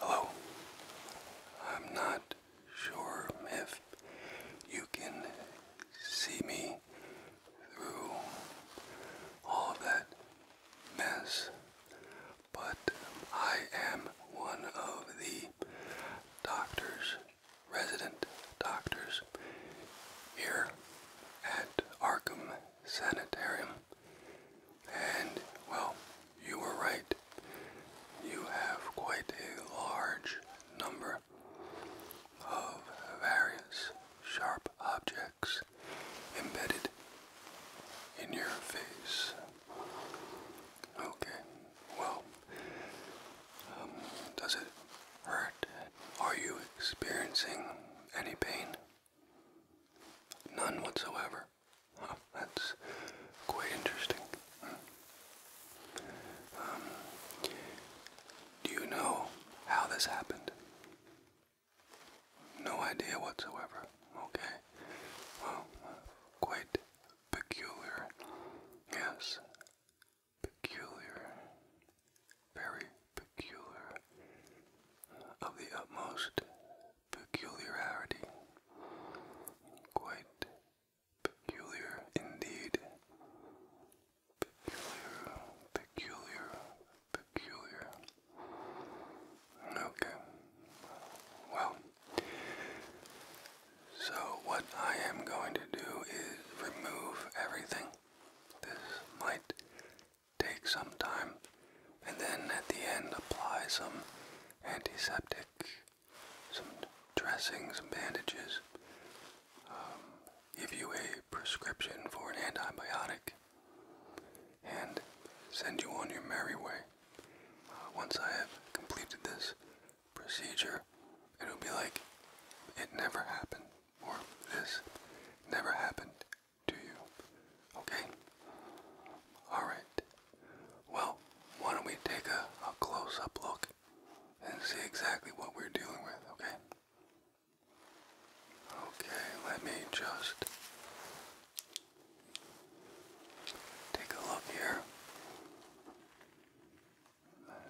Hello. I'm not sure if you can see me through all of that mess but I am one of the doctors, resident doctors here at Arkham Sanitarium. And, well, you were right. You have quite a large number of various sharp objects embedded in your face. Okay, well, um, does it hurt? Are you experiencing any pain? None whatsoever. that's quite interesting. Um, do you know how this happened? No idea whatsoever. Okay. Well, quite peculiar. Yes, peculiar. Very peculiar. Of the utmost peculiarity. Quite peculiar indeed. Peculiar, peculiar, peculiar. Okay, well, so what I am going to do is remove everything. This might take some time, and then at the end apply some antiseptic, some dressings, some bandages, um, give you a prescription for an antibiotic, and send you on your merry way. Uh, once I have completed this procedure, it'll be like it never happened, or this never happened to you. Okay? Alright. Well, why don't we take a, a close up look and see exactly what we're dealing with, okay? Okay, let me just Take a look here.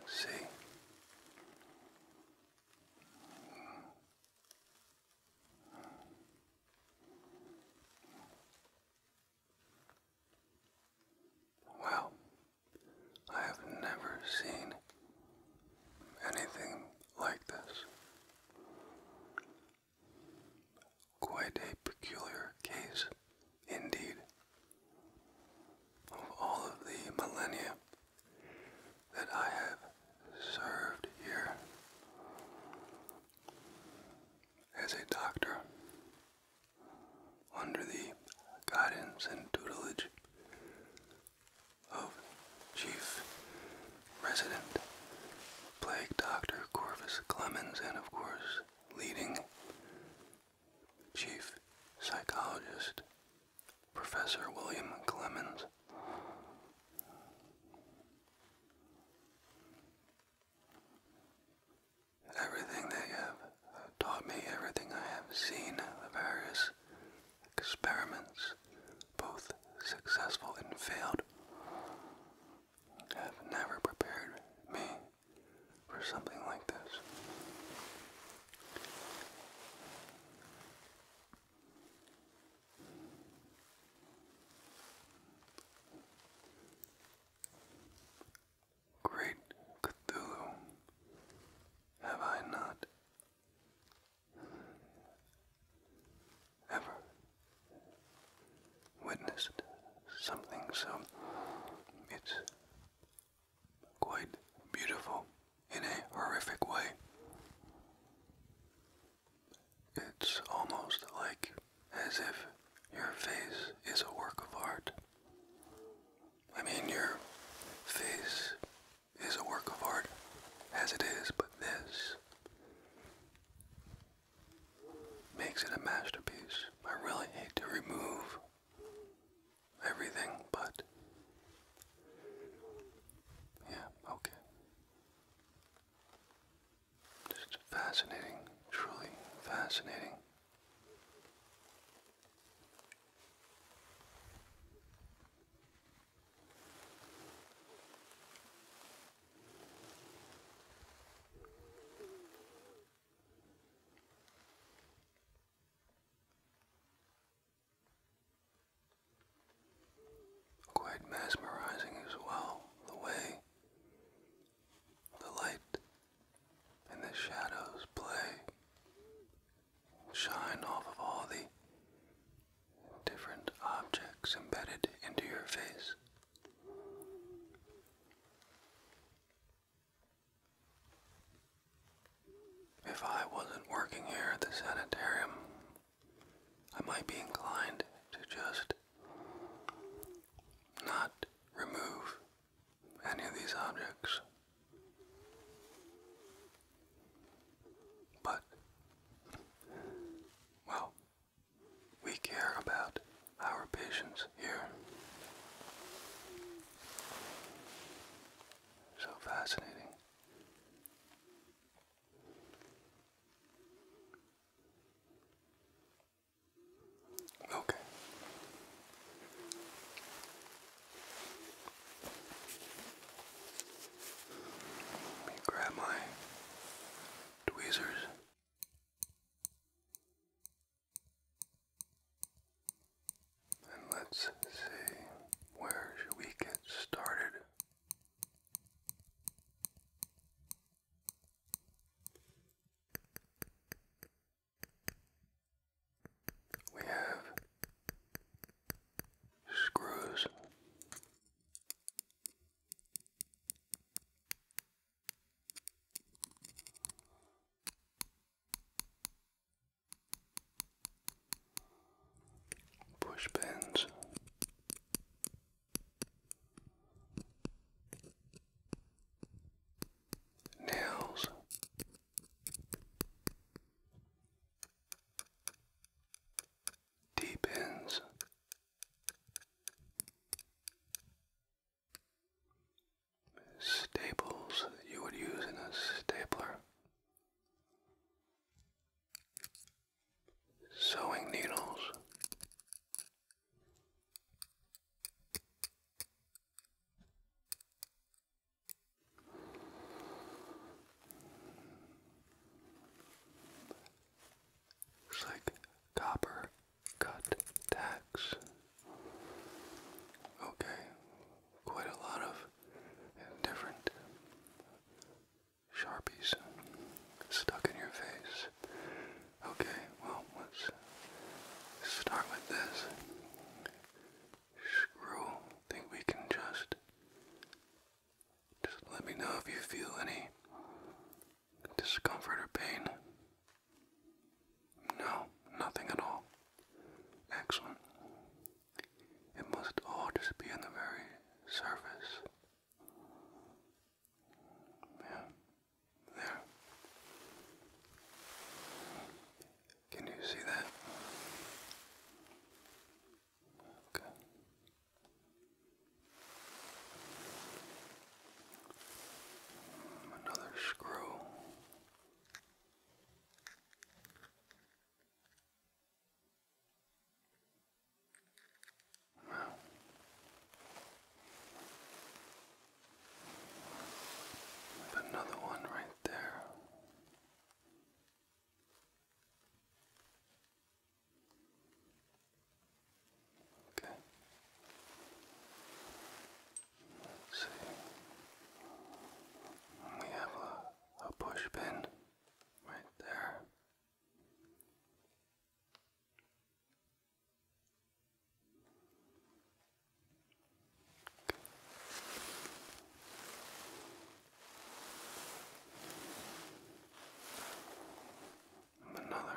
see. Wow, I have never seen anything like this. Quite a peculiar case indeed. Of all of the millennia that I have served here as a doctor under the guidance and tutelage of Chief Resident Plague Doctor Corvus Clemens and, of course, leading chief psychologist, Professor William Clemens. Everything they have taught me, everything I have seen, the various experiments, both successful and failed, have never prepared me for something like this. Great Cthulhu, have I not ever witnessed something, so it's quite beautiful in a horrific way. It's almost like as if your face is a work of art. I mean, your face is a work of art as it is, but this makes it a masterpiece. I really hate to remove everything, but yeah, okay. Just fascinating, truly fascinating. Quite mesmerizing as well, the way the light and the shadows play, shine off of all the different objects embedded into your face. If I wasn't working here at the sanitarium, I might be inclined to just not remove any of these objects. But, well, we care about our patients here. So fascinating. Okay. Let me grab my tweezers. And let's see, where we get started? We have screws Push pins. Nails. Deep ends, staples that you would use in a stapler, sewing needles, looks like copper cut tax. Okay, quite a lot of different sharpies stuck in your face. Okay, well, let's start with this. Screw, think we can just. Just let me know if you feel any discomfort or pain? No, nothing at all. Excellent. It must all just be on the very surface. Yeah. There. Can you see that? Okay. Another screw. Wow. With another one right there. Okay. let see. We have a, a right there. Another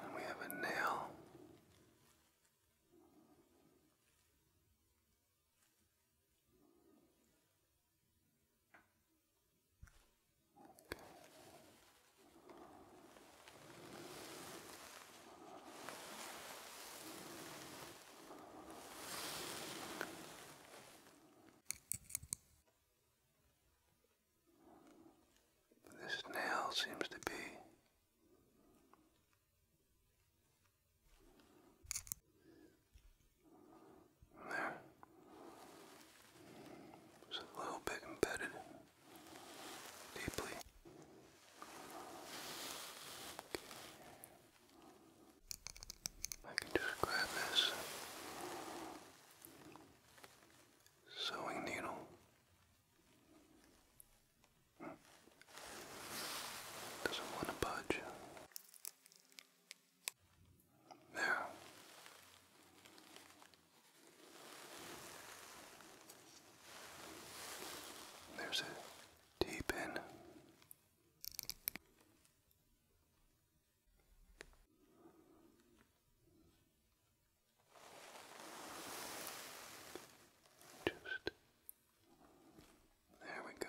and we have a nail. This nail seems to be there. Just a little bit embedded deeply. I can just grab this sewing needle. Doesn't want to budge. There. There's a deep in. Just there we go.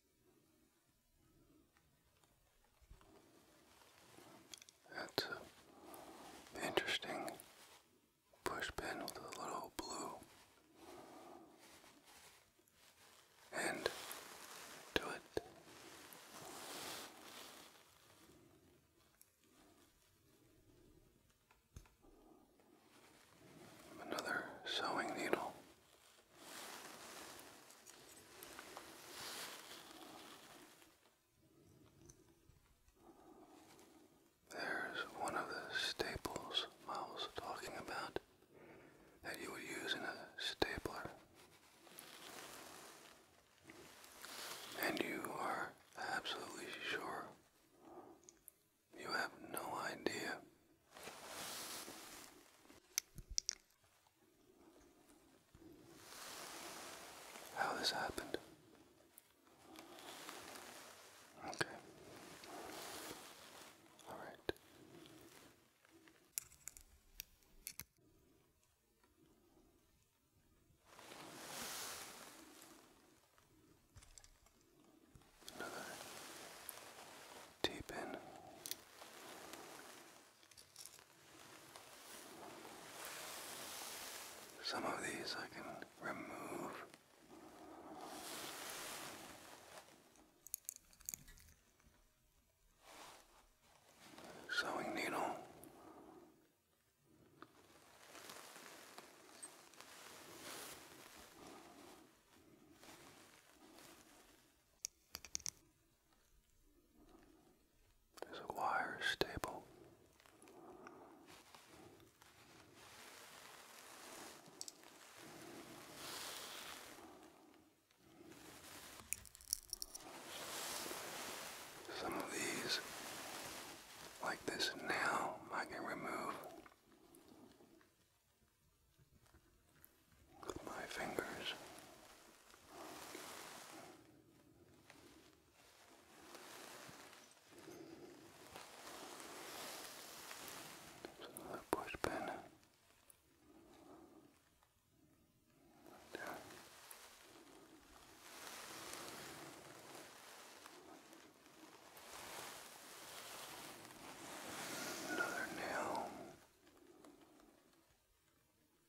That's interesting push with a little blue. And do it. Another sewing needle. There's one of the staples I was talking about that you would use in a stapler. And you are absolutely sure. You have no idea how this happened. Okay. All right. Another deep in some of these I can remove. Sewing needle. There's a wire stable. Some of these, like this nail, I can remove my fingers. Just push there. Another nail.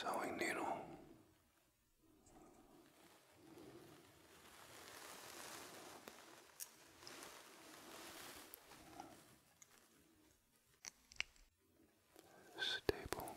sewing needle. Stable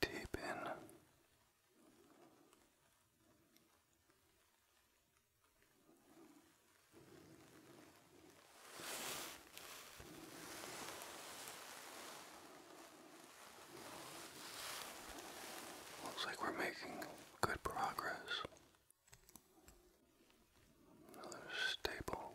Deep in. Looks like we're making good progress. Another staple.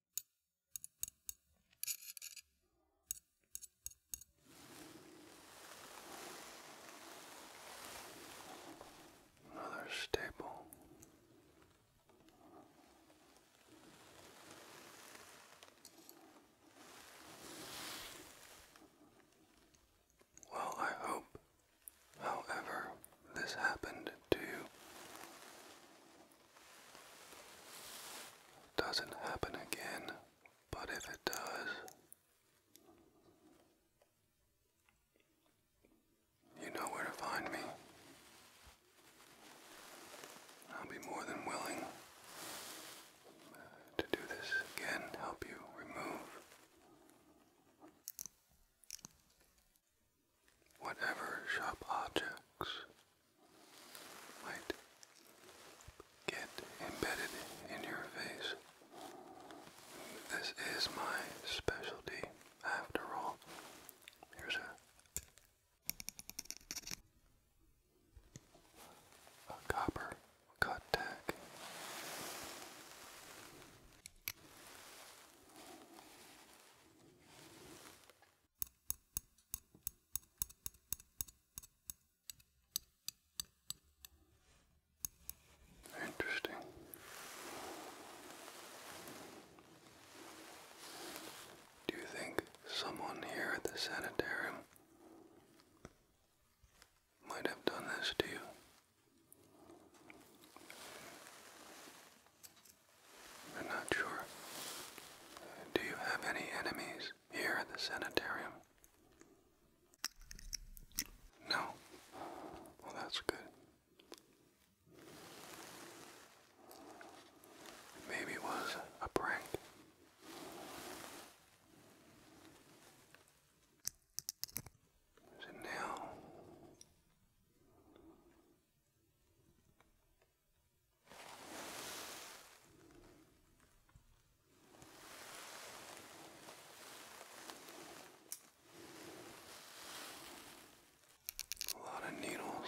Another staple. Well, I hope, however, this happened to you, doesn't happen again, but if it does, you know where to find me. I'll be more than willing to do this again, help you remove whatever sharp objects might get embedded in your face. This is my specialty after all. Here's a, a copper cut tack. Interesting. Do you think someone here at the sanitarium might have done this to you? I'm not sure. Do you have any enemies here at the sanitarium? No. Well, that's good. Maybe it was a prank. Is it now? A lot of needles.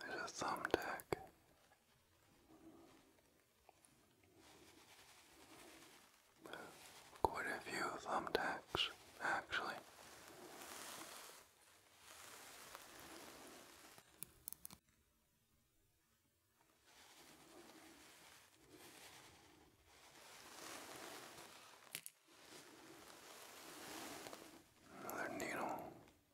There's a thumbtack. Quite a few thumbtacks, actually. Another needle.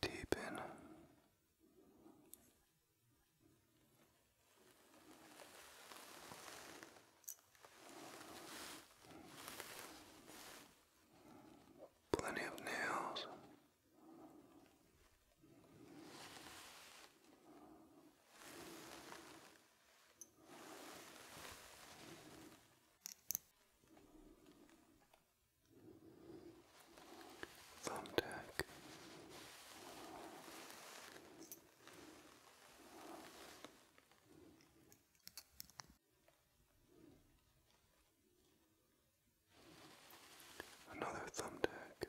Deepen plenty of nails. Thumbtack. Another thumbtack.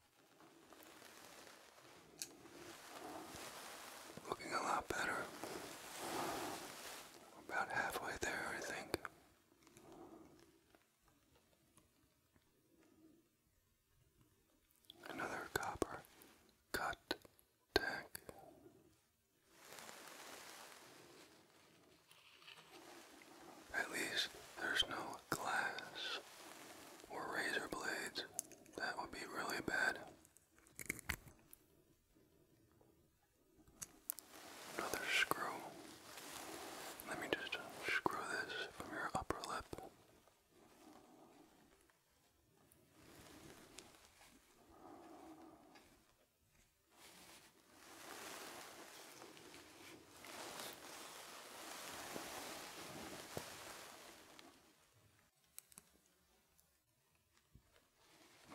Looking a lot better. About halfway there, I think. Another copper cut tack. At least there's no glass or razor blades. That would be really bad. Another screw. Let me just screw this from your upper lip.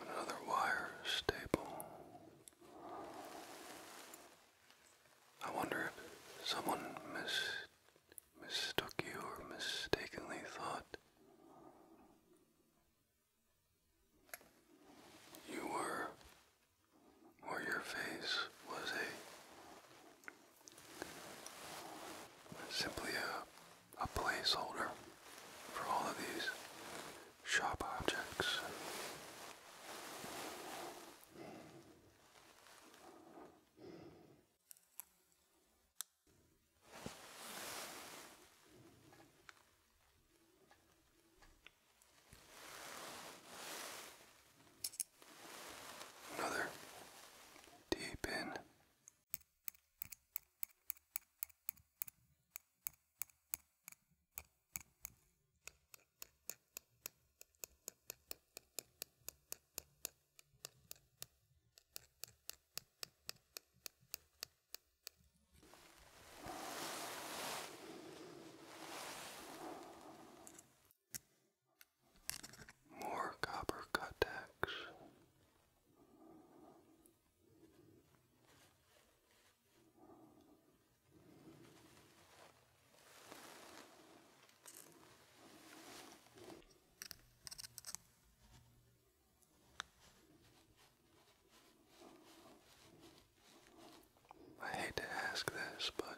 Another wire staple. I wonder if someone mistook you or mistakenly thought you were or your face was a Simply a, a placeholder for all of these shop objects. Another deep in. More copper contacts. I hate to ask this, but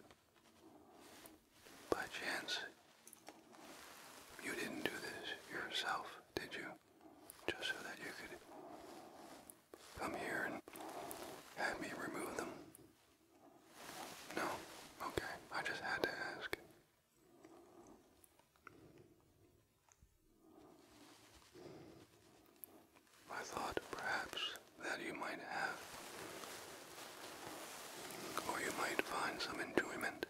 by chance, you didn't do this yourself, did you? Just so that you could come here and have me remove them? No? Okay, I just had to ask. I thought perhaps that you might have, or you might find some enjoyment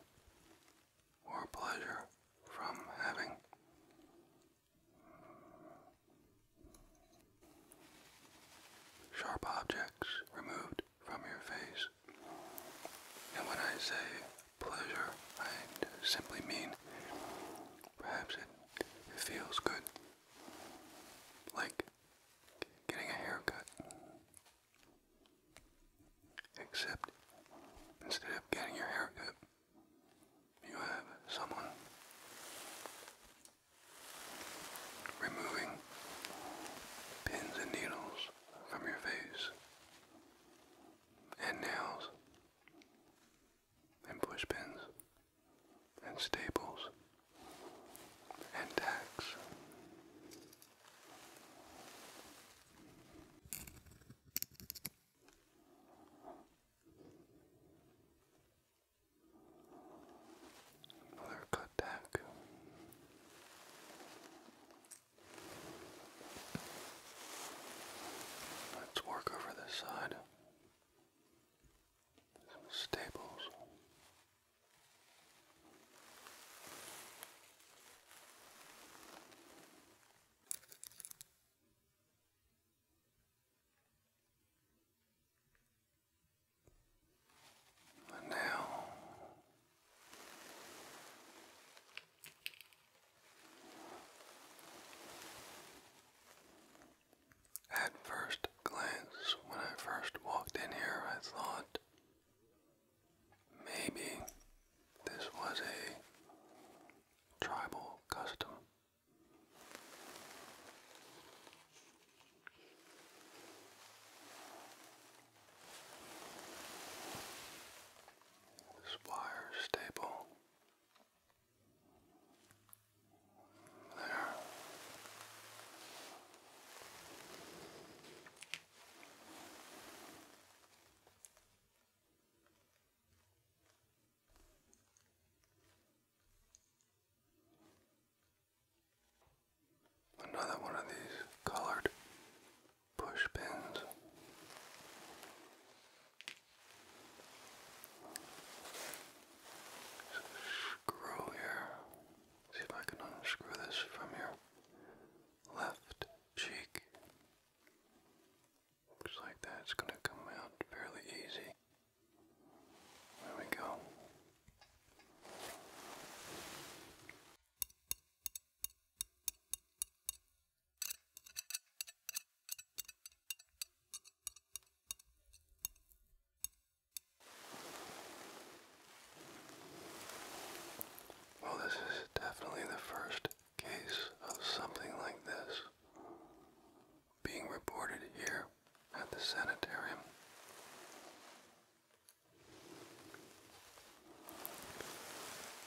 or pleasure from having. Sharp objects removed from your face. And when I say pleasure, I simply mean perhaps it, feels good. Like getting a haircut. Except instead of getting your haircut, you have someone removing pins and needles from your face and nails and push pins and staples and tax. Another cut tack. Let's work over this side. Some and now at first when I first walked in here, I thought maybe this was a tribal custom. This wire staple there. Another one of these colored push Screw here. See if I can unscrew this from your left cheek. Just like that, it's going to come out fairly easy. There we go. Well, this is definitely the first case of something like this being reported here at the sanitarium.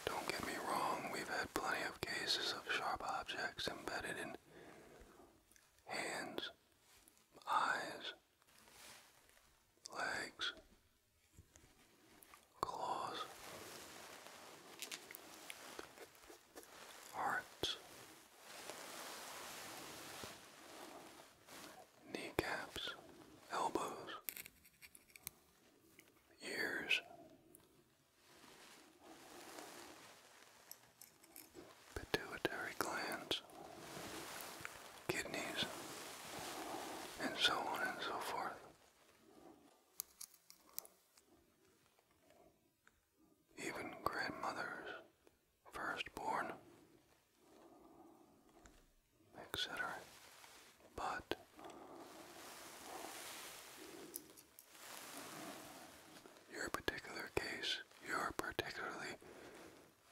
Don't get me wrong, we've had plenty of cases of sharp objects embedded in hands, eyes, legs, claws, hearts, kneecaps, elbows, ears, pituitary glands, kidneys, and so on and so forth. Even grandmothers, firstborn, etc. But your particular case, your particularly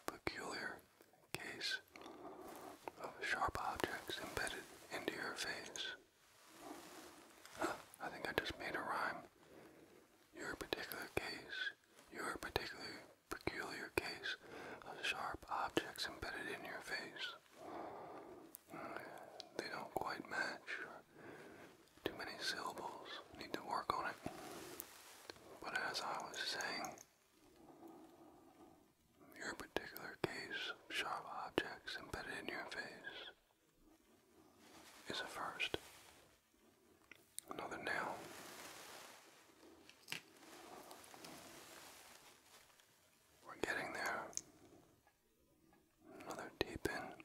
peculiar case of sharp objects embedded into your face. I think I just made a rhyme. Your particular case, your particular peculiar case of sharp objects embedded in your face. Hmm, they don't quite match. Too many syllables. Need to work on it. But as I was saying, your particular case of sharp objects embedded in your face is a first. Another nail. We're getting there. Another deep in.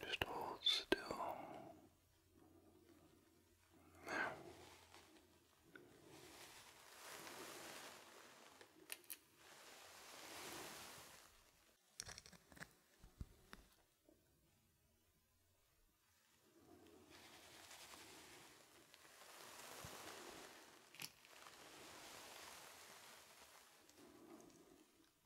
Just hold still. There.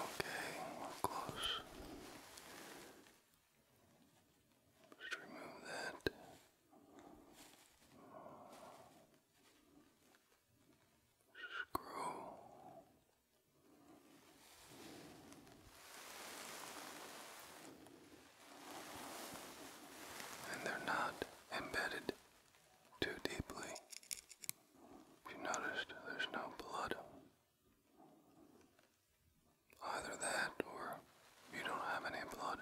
Okay, we're close. Just remove that. Screw. And they're not embedded too deeply. If you noticed, there's no blood. Either that or you don't have any blood.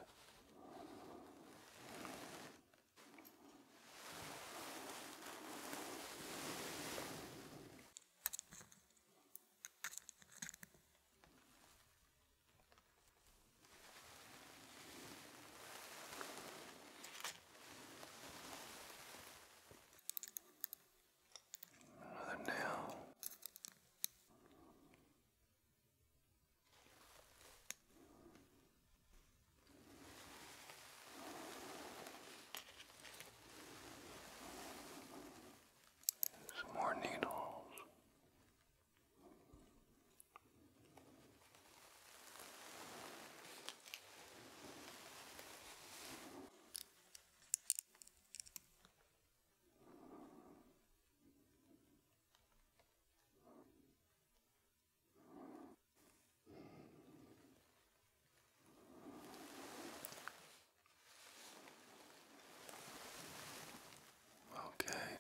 Another nail. Some more needles. Okay,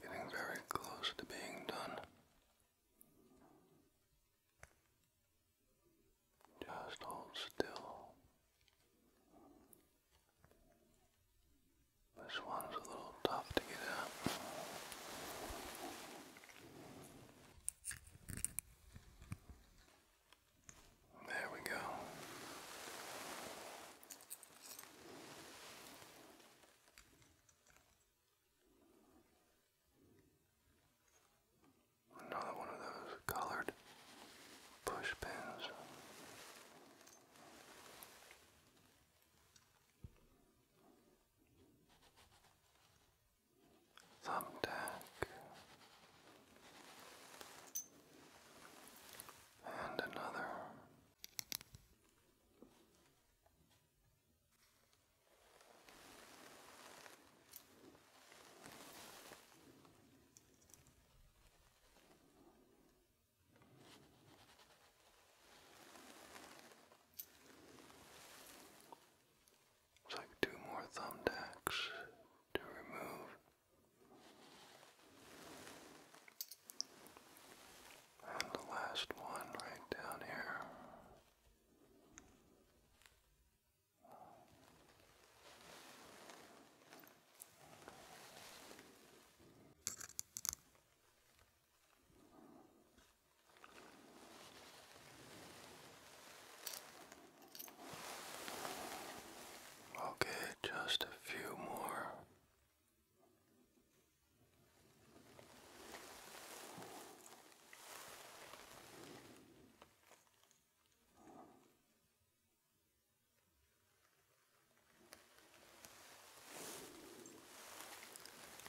getting very close to being done. Just hold still. This one's a little tough to get out. There we go. Another one of those colored push pins thumbtack, and another. Looks like two more thumbtacks to remove. And the last one right down here. Okay, just a few more.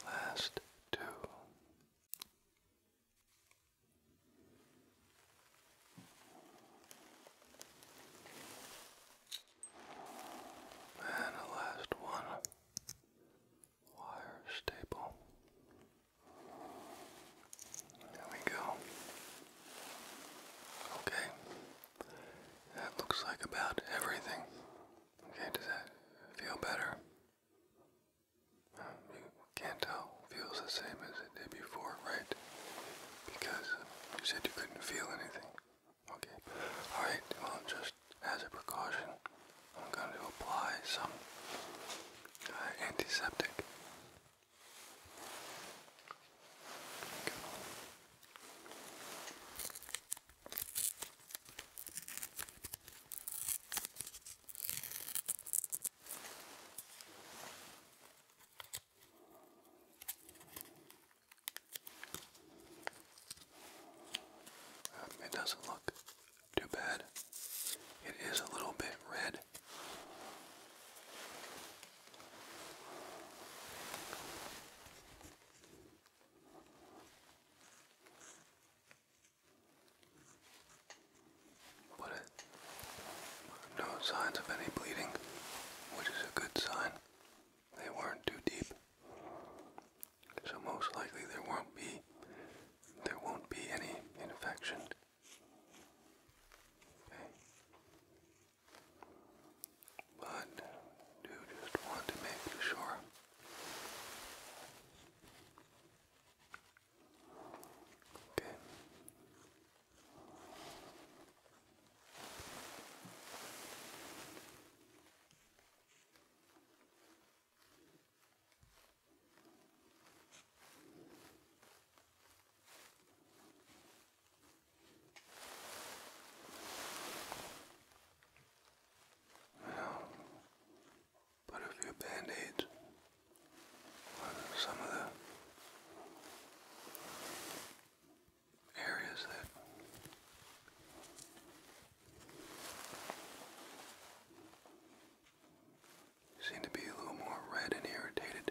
Last two. And the last one, wire staple. There we go. Okay, that looks like about everything. Okay, does that feel better? Um, you can't tell. Feels the same as it did before, right? Because you said you couldn't feel anything. Okay. Alright, well, just as a precaution, I'm going to apply some uh, antiseptic. Um, it doesn't look too bad. It is a little bit red no signs of any bleeding, which is a good sign. They weren't too deep. So most likely there won't be there won't be any infection but do just want to make sure okay put a few band-aids on some of the areas that seem to be a little more red and irritated.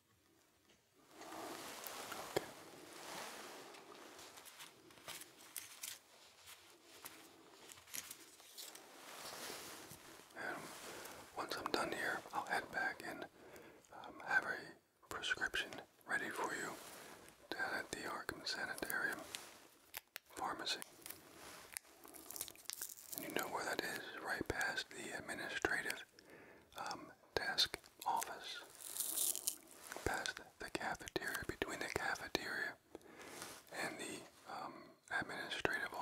Okay. And once I'm done here, I'll head back and um, have a prescription ready for you down at the Arkham Sanitarium Pharmacy. you know where that is, right past the administrative um, desk office past the cafeteria, between the cafeteria and the um, administrative office.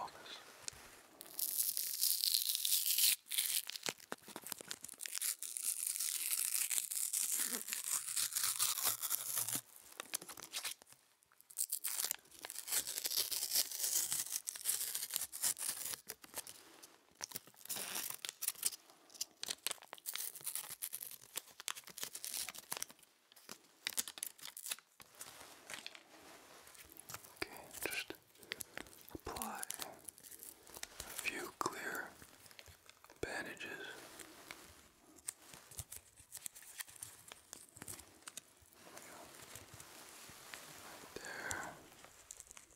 Okay, just apply a few clear bandages. There,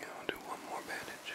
Yeah, I'll do one more bandage.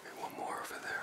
Okay, one more over there.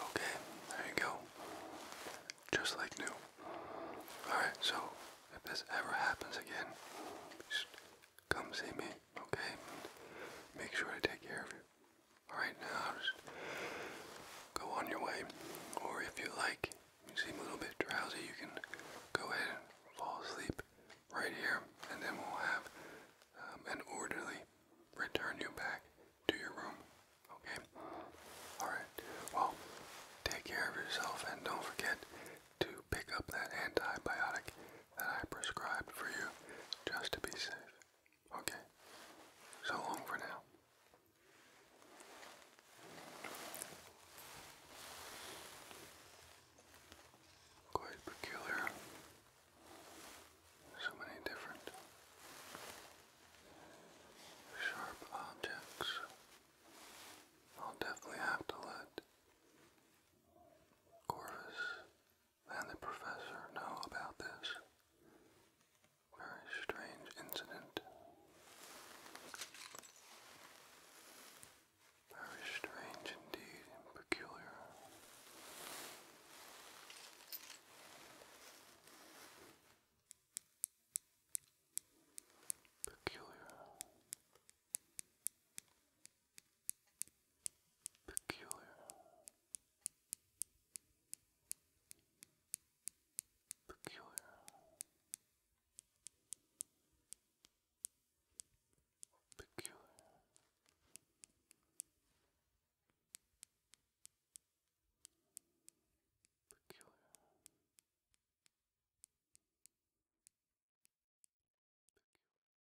Okay, there you go. Just like new. Alright, so if this ever happens again, just come see me, okay? Make sure to take care of you. Alright, now just go on your way. Or if you like, you seem a little bit drowsy, you can go ahead and fall asleep right here, and then we'll have um, an orderly return you back to your room, okay? Alright, well, take care of yourself and don't forget to pick up that antibiotic that I prescribed for you just to be safe. Okay? So long for now. Quite peculiar. So many different sharp objects. I'll definitely have to let Corvus and the professor know about this very strange incident. Very strange indeed and peculiar. Peculiar. Peculiar. Peculiar. Peculiar. Peculiar. Peculiar.